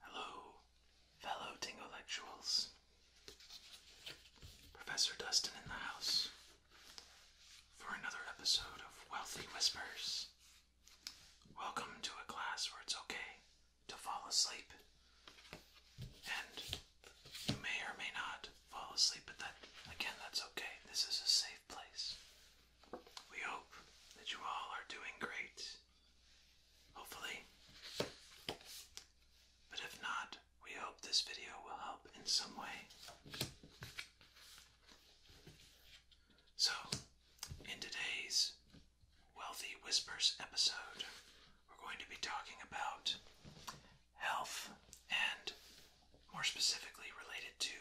Hello, fellow Tingolectuals. Professor Dustin in the house for another episode of Wealthy Whispers. Welcome to a class where it's okay to fall asleep. And you may or may not fall asleep, but that, again, that's okay. This is a safe place. We hope that you all are doing great. Hopefully. But if not, we hope this video will help in some way. So, in today's Wealthy Whispers episode, we're going to be talking about health and, more specifically, related to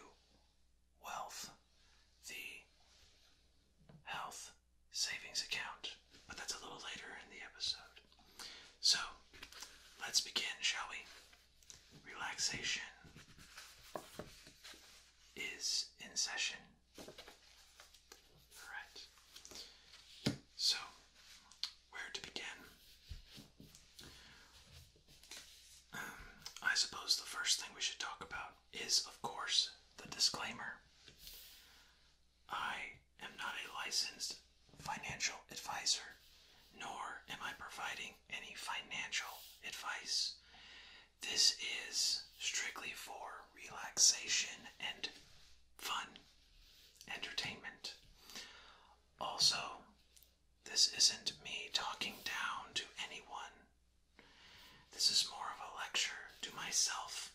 wealth, the health savings account. But that's a little later in the episode. So, let's begin, shall we? Relaxation is in session. Alright. So, where to begin? Um, I suppose the first thing we should talk about is, of course, the disclaimer. I am not a licensed financial advisor, nor am I providing any financial advice. This is strictly for relaxation and fun, entertainment. Also, this isn't me talking down to anyone. This is more of a lecture to myself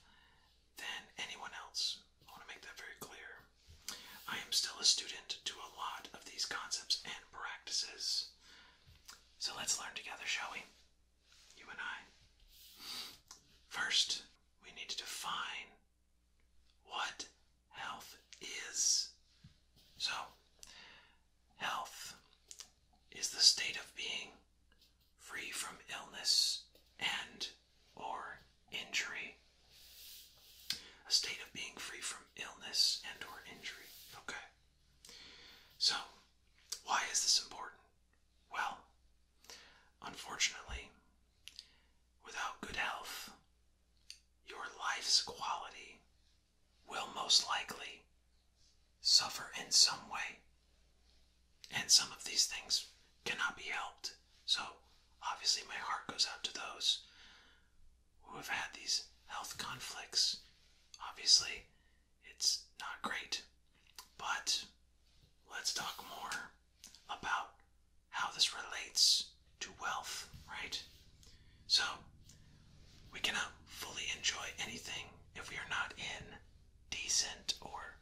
than anyone else. I want to make that very clear. I am still a student to a lot of these concepts and practices. So let's learn together, shall we? you and I. First, we need to define what health is. So, health is the state of being free from illness and or injury. A state of being free from illness and or injury. Okay. So, why is this important? Well, unfortunately, without good health, your life's quality will most likely suffer in some way. And some of these things cannot be helped. So, obviously, my heart goes out to those who have had these health conflicts. Obviously, it's not great. But let's talk more about how this relates to wealth, right? So, we cannot fully enjoy anything if we are not in decent or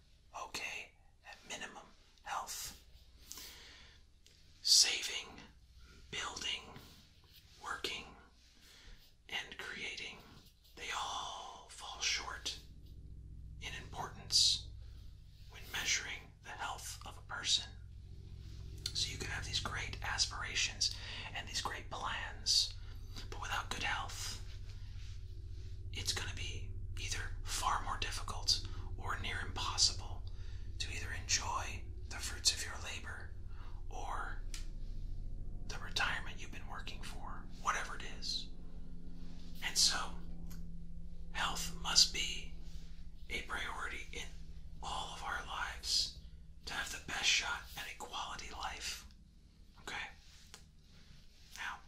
okay, at minimum, health. Saving, building, working, and creating they all fall short in importance when measuring the health of a person. So you can have these great aspirations and these great plans, but without good health, it's going to be either far more difficult or near impossible to either enjoy the fruits of your labor or the retirement you've been working for, whatever it is. And so, health must be a priority in all of our lives to have the best shot at a quality life. Okay? Now,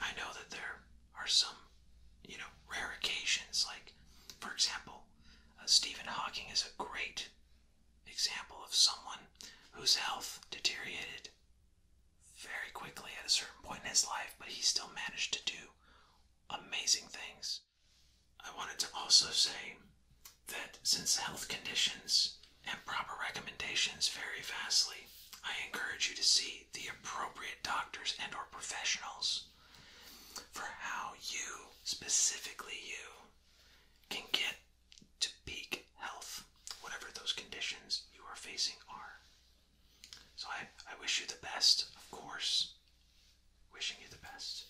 I know that there are some, you know, rare occasions, like, for example, uh, Stephen Hawking is a great example of someone whose health deteriorated very quickly at a certain point in his life, but he still managed to do amazing things. I wanted to also say that since health conditions and proper recommendations vary vastly, I encourage you to see the appropriate doctors and or professionals for how you, specifically you, can get to peak health, whatever those conditions you are facing are. So I, I wish you the best, of course. Wishing you the best.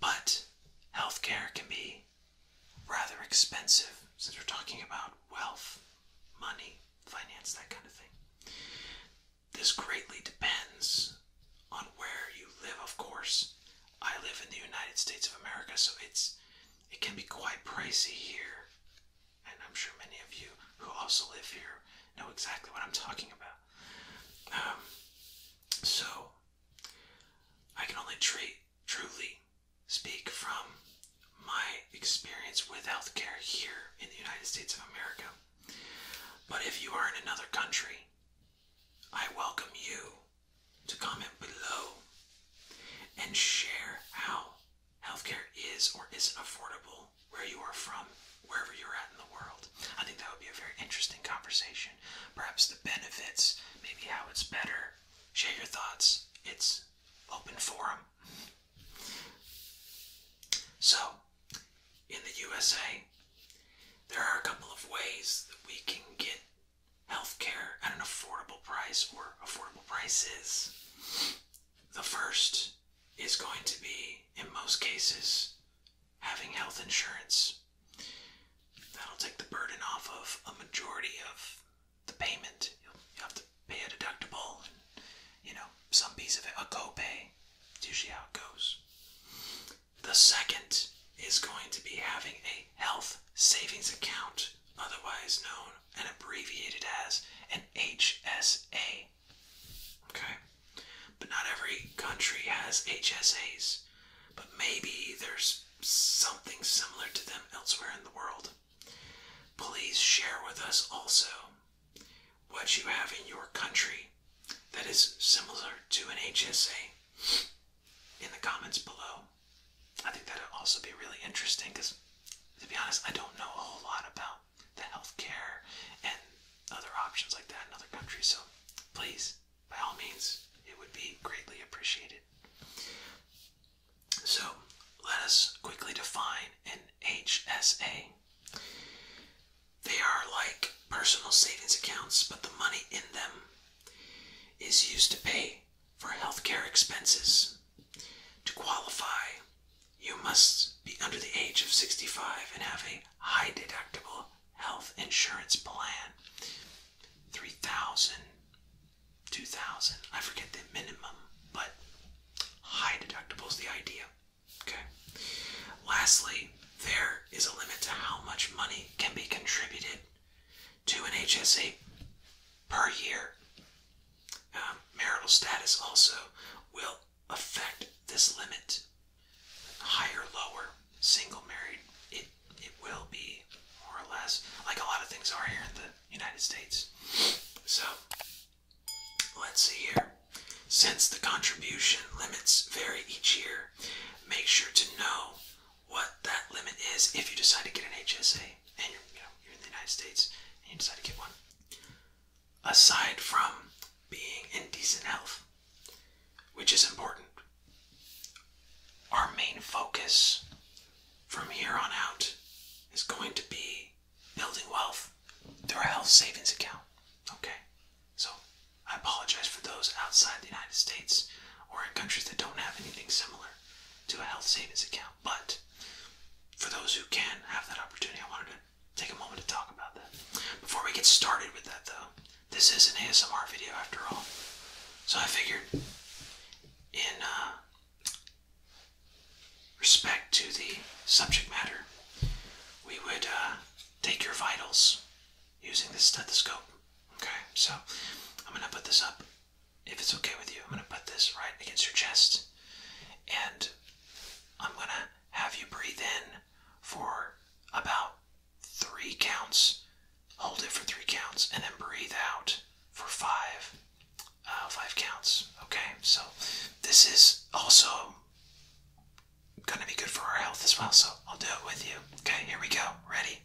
But healthcare can be rather expensive since we're talking about wealth, money, finance, that kind of thing. This greatly depends on where you live, of course, I live in the United States of America, so it's it can be quite pricey here. And I'm sure many of you who also live here know exactly what I'm talking about. Um, so I can only truly speak from my experience with healthcare here in the United States of America. But if you are in another country, I welcome you to comment below and share how healthcare is or isn't affordable where you are from, wherever you're at in the world. I think that would be a very interesting conversation. Perhaps the benefits, maybe how it's better. Share your thoughts. It's open forum. So, in the USA, there are a couple of ways that we can get healthcare at an affordable price or affordable prices. The first is going to be, in most cases, having health insurance. That'll take the burden off of a majority of the payment. You'll, have to pay a deductible, and, you know, some piece of it, a copay. It's usually how it goes. The second is going to be having a health savings account, otherwise known and abbreviated as an HSA. Okay? But not every country has HSAs, but maybe there's something similar to them elsewhere in the world. Please share with us also what you have in your country that is similar to an HSA in the comments below. I think that would also be really interesting because, to be honest, I don't know a whole lot about the healthcare and other options like that in other countries. So, please, by all means, it would be greatly appreciated. So, let us quickly define an HSA. They are like personal savings accounts, but the money in them is used to pay for healthcare expenses. To qualify, you must be under the age of 65 and have a high deductible health insurance plan. 3000 2000 I forget the minimum, but high deductible is the idea. Okay. Lastly, there is a limit to how much money can be contributed to an HSA per year. Um, marital status also will affect this limit. Higher, lower, single, married, it it will be more or less like a lot of things are here in the United States. So let's see here. Since the contribution limits vary each year, make sure to know what that limit is if you decide to get an HSA and you're, you know, you're in the United States and you decide to get one. Aside from being in decent health, which is important, our main focus from here on out is going to be building wealth through a health savings account. Okay? So I apologize for those outside the United States or in countries that don't have anything similar to a health savings account. But for those who can have that opportunity, I wanted to take a moment to talk about that. Before we get started with that, though, this is an ASMR video after all. So I figured, in uh, respect to the subject matter, we would uh, take your vitals using the stethoscope. Okay, so I'm gonna put this up. If it's okay with you, I'm gonna put this right against your chest, and I'm gonna have you breathe in for about three counts, hold it for three counts, and then breathe out for five, uh, five counts. Okay, so this is also gonna be good for our health as well. So I'll do it with you. Okay, here we go. Ready?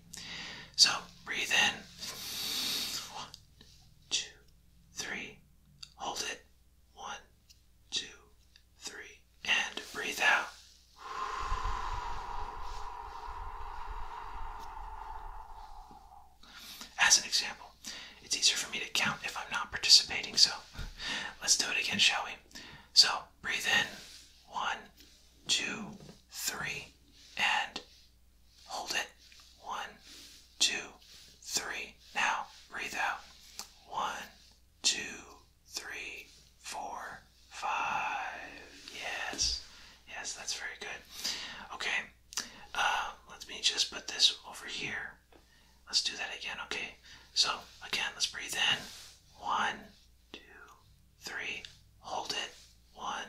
So breathe in. One, two, three. Hold it. One, two, three. And breathe out. As an example, it's easier for me to count if I'm not participating, so let's do it again, shall we? So, breathe in. One, two, three, and hold it. One, two, three. Now breathe out. One, two, three, four, five. Yes. Yes, that's very good. Okay. Uh, let me just put this over here. Let's do that again, okay? So, again, let's breathe in. One, two, three. Hold it. One,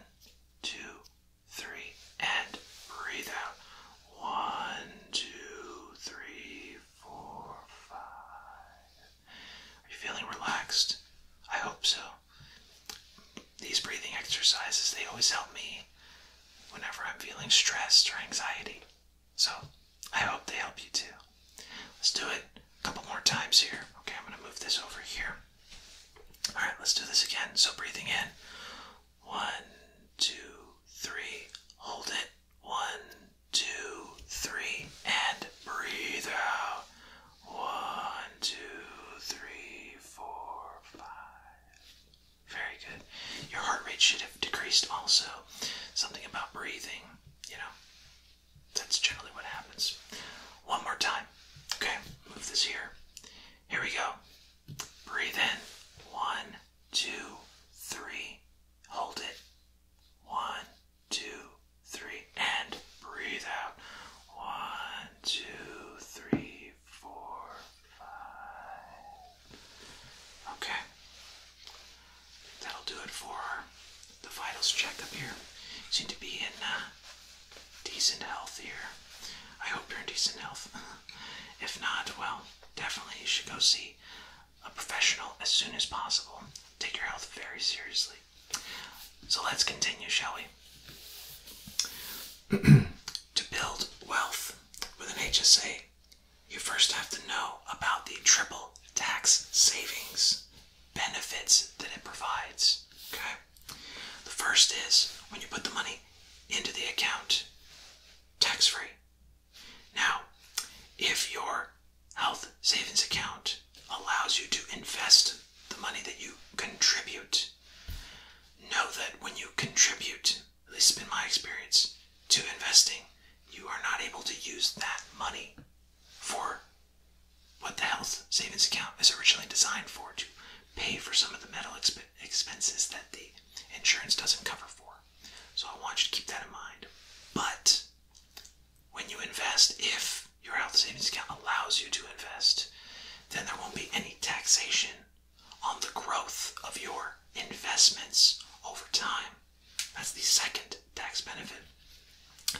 two, three, and breathe out. One, two, three, four, five. Are you feeling relaxed? I hope so. These breathing exercises, they always help me whenever I'm feeling stressed or anxiety. So I hope they help you too. Let's do it a couple more times here. Okay, I'm gonna move this over here. All right, let's do this again. So breathing in, one, two, three, hold it. One, two, three, and breathe out. One, two, three, four, five. Very good. Your heart rate should have decreased also. Something about breathing, you know. That's generally what happens. One more time. Okay, move this here. Here we go. Breathe in. One, two, three. Hold it. One, two, three. And breathe out. One, two, three, four, five. Okay that'll do it for the vitals checkup here. You seem to be in uh, decent health here. I hope you're in decent health. if not, well, definitely you should go see a professional as soon as possible. Take your health very seriously. So let's continue, shall we? to build wealth with an HSA, you first have to know about the triple tax savings benefits that it provides. Okay? The first is when you put the money into the account tax free. Now, if your health savings account allows you to invest the money that you contribute, know that when you contribute, at least in my experience, to investing, you are not able to use that money for what the health savings account is originally designed for to pay for some of the medical expenses that the insurance doesn't cover for. So I want you to keep that in mind. But when you invest, if your health savings account allows you to invest, then there won't be any taxation on the growth of your investments over time. That's the second tax benefit.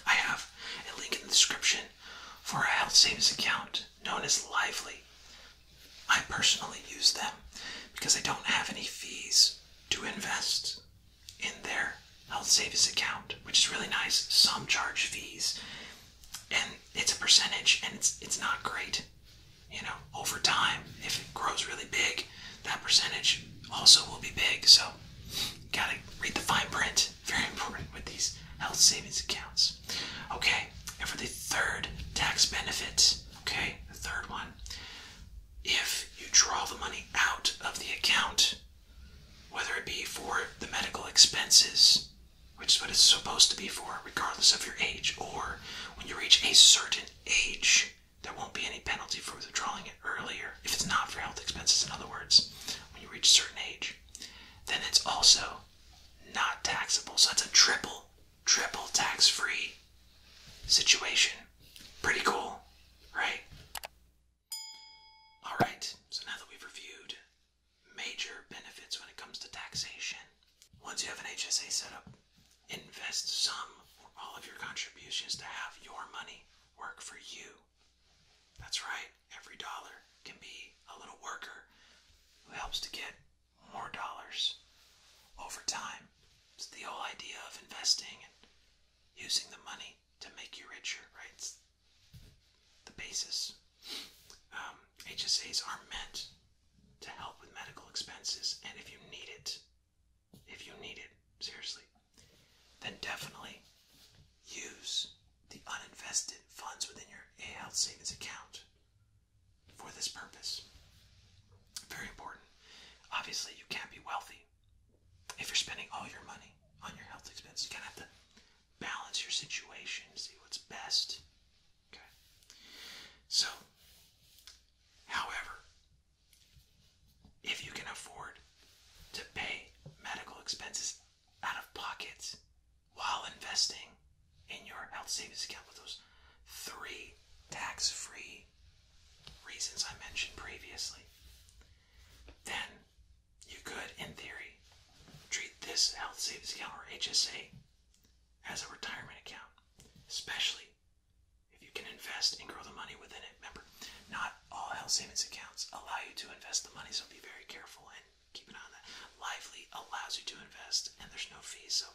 I have a link in the description for a health savings account known as Lively. I personally use them because I don't have any fees to invest in their health savings account, which is really nice. Some charge fees and it's a percentage and it's it's not great. You know, over time, if it grows really big, that percentage also will be big. So, gotta read the fine print. Very important with these health savings accounts. Okay, and for the third tax benefit, okay, the third one, if you draw the money out of the account, whether it be for the medical expenses, which is what it's supposed to be for, regardless of your age, or when you reach a certain age, there won't be any penalty for withdrawing it earlier if it's not for health expenses, in other words, when you reach a certain age. Then it's also not taxable. So it's a triple, triple tax free situation. Pretty cool, right? Alright, so now that we've reviewed major benefits when it comes to taxation, once you have an HSA set up, invest some or all of your contributions to have your money work for you that's right, every dollar can be a little worker who helps to get more dollars over time. It's the whole idea of investing and using the money to make you richer, right? It's the basis. Um, HSAs are meant to help with medical expenses, and if you need it, if you need it, seriously, then definitely use the uninvested funds within your health savings account for this purpose. Very important. Obviously, you can't be wealthy if you're spending all your money on your health expenses. You kind of have to balance your situation, see what's best. Okay. So, however, if you can afford to pay medical expenses out of pocket while investing in your health savings account with those three tax free reasons I mentioned previously, then you could, in theory, treat this health savings account or HSA as a retirement account, especially if you can invest and grow the money within it. Remember, not all health savings accounts allow you to invest the money, so be very careful and keep an eye on that. Lively allows you to invest, and there's no fees, so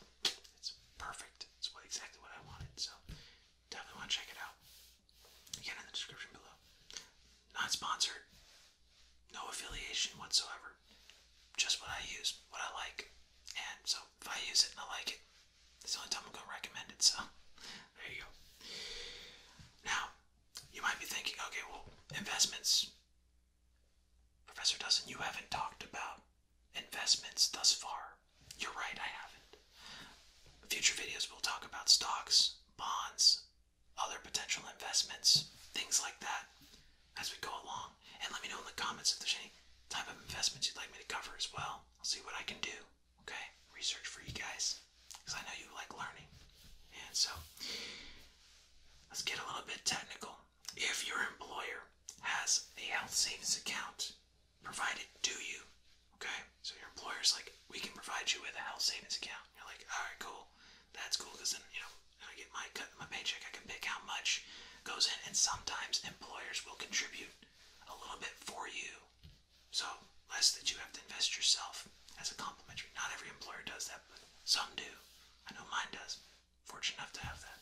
it's perfect. It's what, exactly what I wanted, so definitely want to check it out. Again, in the description below. Not sponsored, no affiliation whatsoever. Just what I use, what I like, and so if I use it and I like it, that's the only time I'm gonna recommend it, so there you go. Now, you might be thinking, okay, well, investments. Professor Dustin, you haven't talked about investments thus far. You're right, I haven't. Future videos will talk about stocks, bonds, other potential investments, things like that as we go along. And let me know in the comments if there's any type of investments you'd like me to cover as well. I'll see what I can do. Okay, research for you guys because I know you like learning. And so, let's get a little bit technical. If your employer has a health savings account provided to you, okay, so your employer's like, we can provide you with a health savings account. You're like, all right, cool, that's cool because then, you know, I get my cut, my paycheck, I can pick how much goes in, and sometimes employers will contribute a little bit for you so, less that you have to invest yourself as a complimentary. Not every employer does that, but some do. I know mine does. Fortunate enough to have that.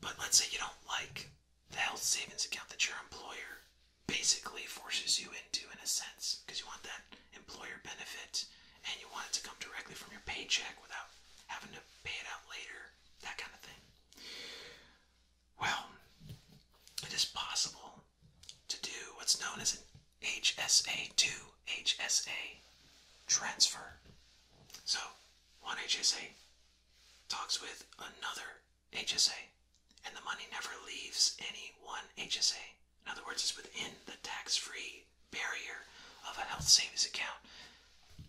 But let's say you don't like the health savings account that your employer basically forces you into, in a sense, because you want that employer benefit and you want it to come directly from your paycheck without having to pay it out later, that kind of thing. Well, it is possible to do what's known as an HSA to HSA transfer. So, one HSA talks with another HSA, and the money never leaves any one HSA. In other words, it's within the tax free barrier of a health savings account.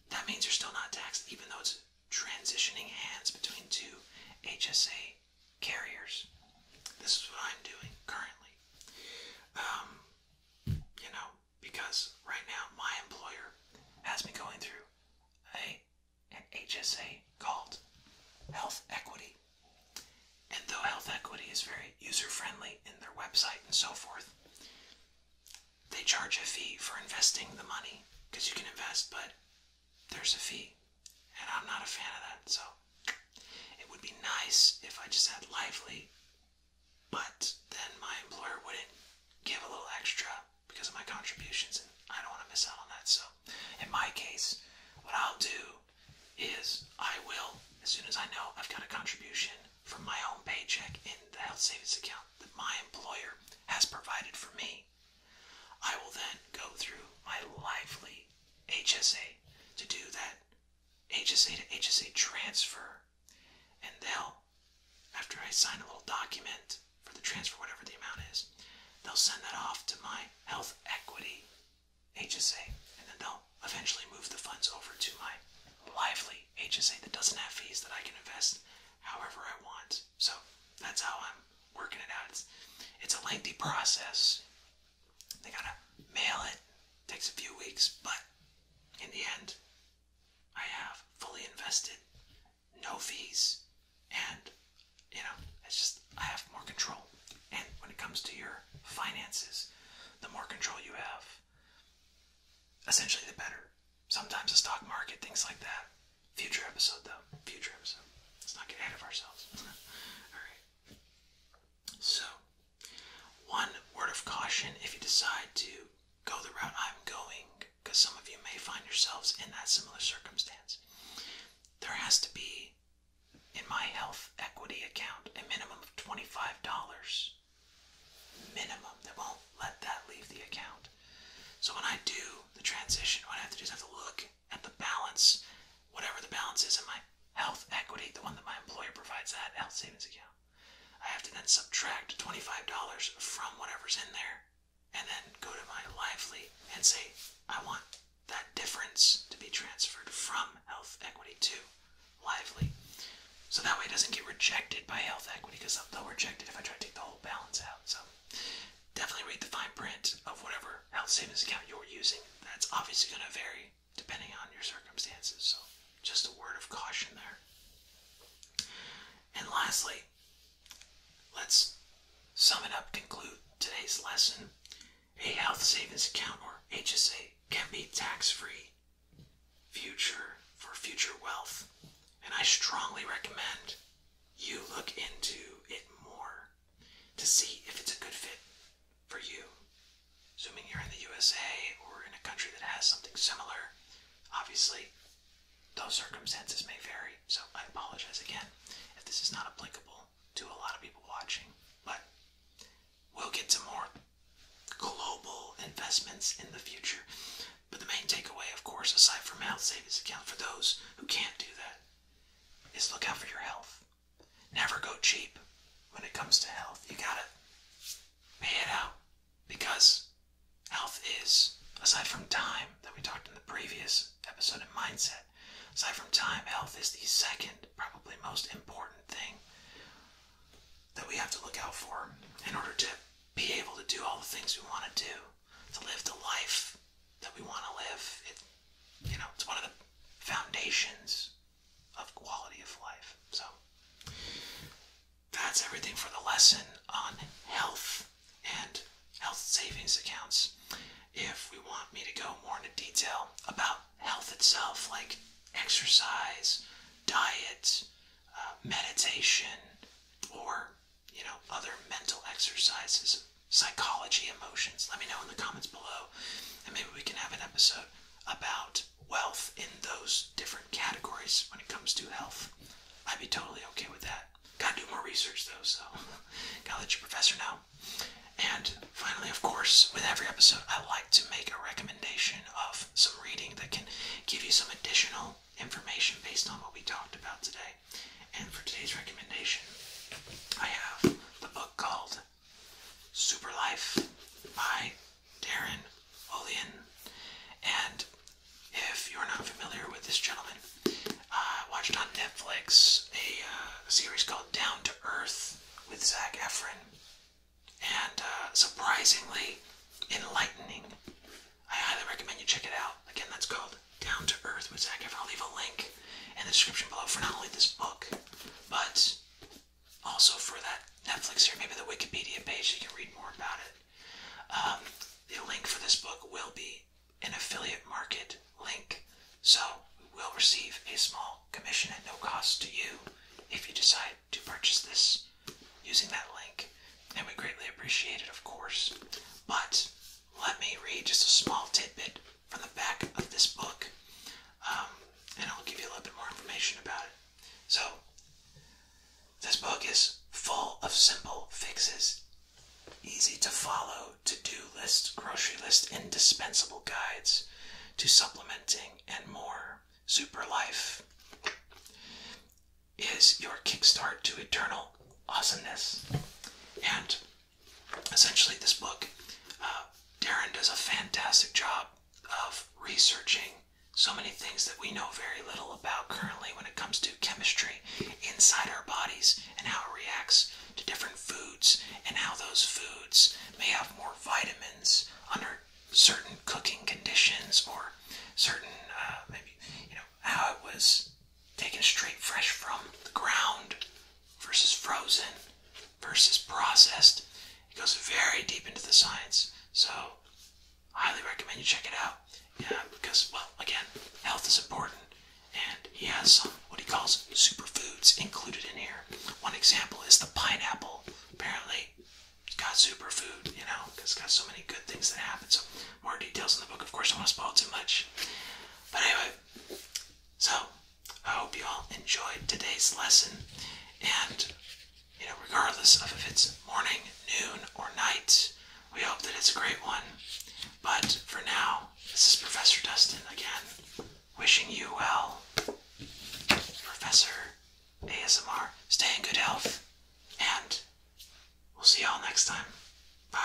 That means you're still not taxed, even though it's transitioning hands between two HSA carriers. This is what I'm doing currently. Um, you know, because right now my employer has me going through a HSA called Health Equity. And though Health Equity is very user friendly in their website and so forth, they charge a fee for investing the money because you can invest, but there's a fee. And I'm not a fan of that. So it would be nice if I just had lively, but then my employer wouldn't give a little extra because of my contributions, and I don't want to miss out on that. So in my case, what I'll do is I will, as soon as I know I've got a contribution from my own paycheck in the health savings account that my employer has provided for me, I will then go through my lively HSA to do that HSA to HSA transfer, and they'll, after I sign a little document for the transfer, whatever the amount is, they'll send that off to my health equity HSA, and then they'll eventually move the funds over to my lively HSA that doesn't have fees that I can invest however I want. So that's how I'm working it out. It's it's a lengthy process. They gotta mail it. Takes a few weeks, but in the end, I have fully invested, no fees, and you know, it's just I have more control. And when it comes to your finances, the more control you have, essentially the better. Sometimes the stock market, things like that, Future episode, though. Future episode. Let's not get ahead of ourselves. Alright. So, one word of caution if you decide to go the route I'm going, because some of you may find yourselves in that similar circumstance. There has to be, in my health equity account, a minimum of $25. Minimum. They won't let that leave the account. So when I do the transition, what I have to do is I have to look at the balance, whatever the balance is in my health equity, the one that my employer provides that health savings account. I have to then subtract $25 from whatever's in there and then go to my lively and say, I want that difference to be transferred from health equity to lively. So that way it doesn't get rejected by health equity because they'll reject it if I try to take the whole balance out. So definitely read the fine print of whatever health savings account you're using. That's obviously going to vary depending on your circumstances, so just a word of caution there. And lastly, let's sum it up, conclude today's lesson. A health savings account or HSA can be tax-free future for future wealth, and I strongly recommend you look into it more to see if it's a good fit for you. Assuming you're in the USA or in a country that has something similar, obviously those circumstances may vary. So I apologize again if this is not applicable to a lot of people watching, but we'll get to more global investments in the future. But the main takeaway, of course, aside from health savings account for those who can't do that, is look out for your health. Never go cheap when it comes to health. You gotta pay it out because health is, aside from time that we talked in the previous episode of mindset, aside from time, health is the second, probably most important thing that we have to look out for in order to be able to do all the things we want to do to live the life that we want to live. It, you know, it's one of the foundations of quality of life. So that's everything for the lesson on health and health savings accounts. If we want me to go more into detail about health itself, like exercise, diet, uh, meditation, or you know, other mental exercises, psychology, emotions. Let me know in the comments below, and maybe we can have an episode about wealth in those different categories when it comes to health. I'd be totally okay with that. Gotta do more research though, so gotta let your professor know. And finally, of course, with every episode, I like to make a recommendation of some reading that can give you some additional information based on what we talked about today. And for today's recommendation, I have the book called Super Life by Darren Olean. And if you're not familiar with this gentleman, I watched on Netflix a, uh, series called Down to Earth with Zach Efron. And uh, surprisingly enlightening. I highly recommend you check it out. Again, that's called Down to Earth with Zach I'll leave a link in the description below for not only this book, but also for that Netflix here, maybe the Wikipedia page, you can read more about it. Um, the link for this book will be an affiliate market link, so we will receive a small commission at no cost to you if you decide to purchase this using that link and we greatly appreciate it, of course. But let me read just a small tidbit from the back of this book, um, and I'll give you a little bit more information about it. So, this book is full of simple fixes, easy to follow to do list, grocery list, indispensable guides to supplementing, and more. Super Life is your kickstart to eternal awesomeness. And essentially, this book, uh, Darren does a fantastic job of researching so many things that we know very little about currently when it comes to chemistry inside our bodies and how it reacts to different foods and how those foods may have more vitamins under certain cooking conditions or certain uh, maybe you know how it was taken straight fresh from the ground versus frozen versus processed. It goes very deep into the science. So, highly recommend you check it out. Yeah, because, well, again, health is important. And he has some, what he calls superfoods included in here. One example is the pineapple. Apparently, it's got superfood, you know, it's got so many good things that happen. So, more details in the book. Of course, I don't want to spoil too much. But anyway, so I hope you all enjoyed today's lesson. And, you know, regardless of if it's morning, noon, or night, we hope that it's a great one. But for now, this is Professor Dustin again, wishing you well. Professor ASMR, stay in good health, and We'll see y'all next time. Bye.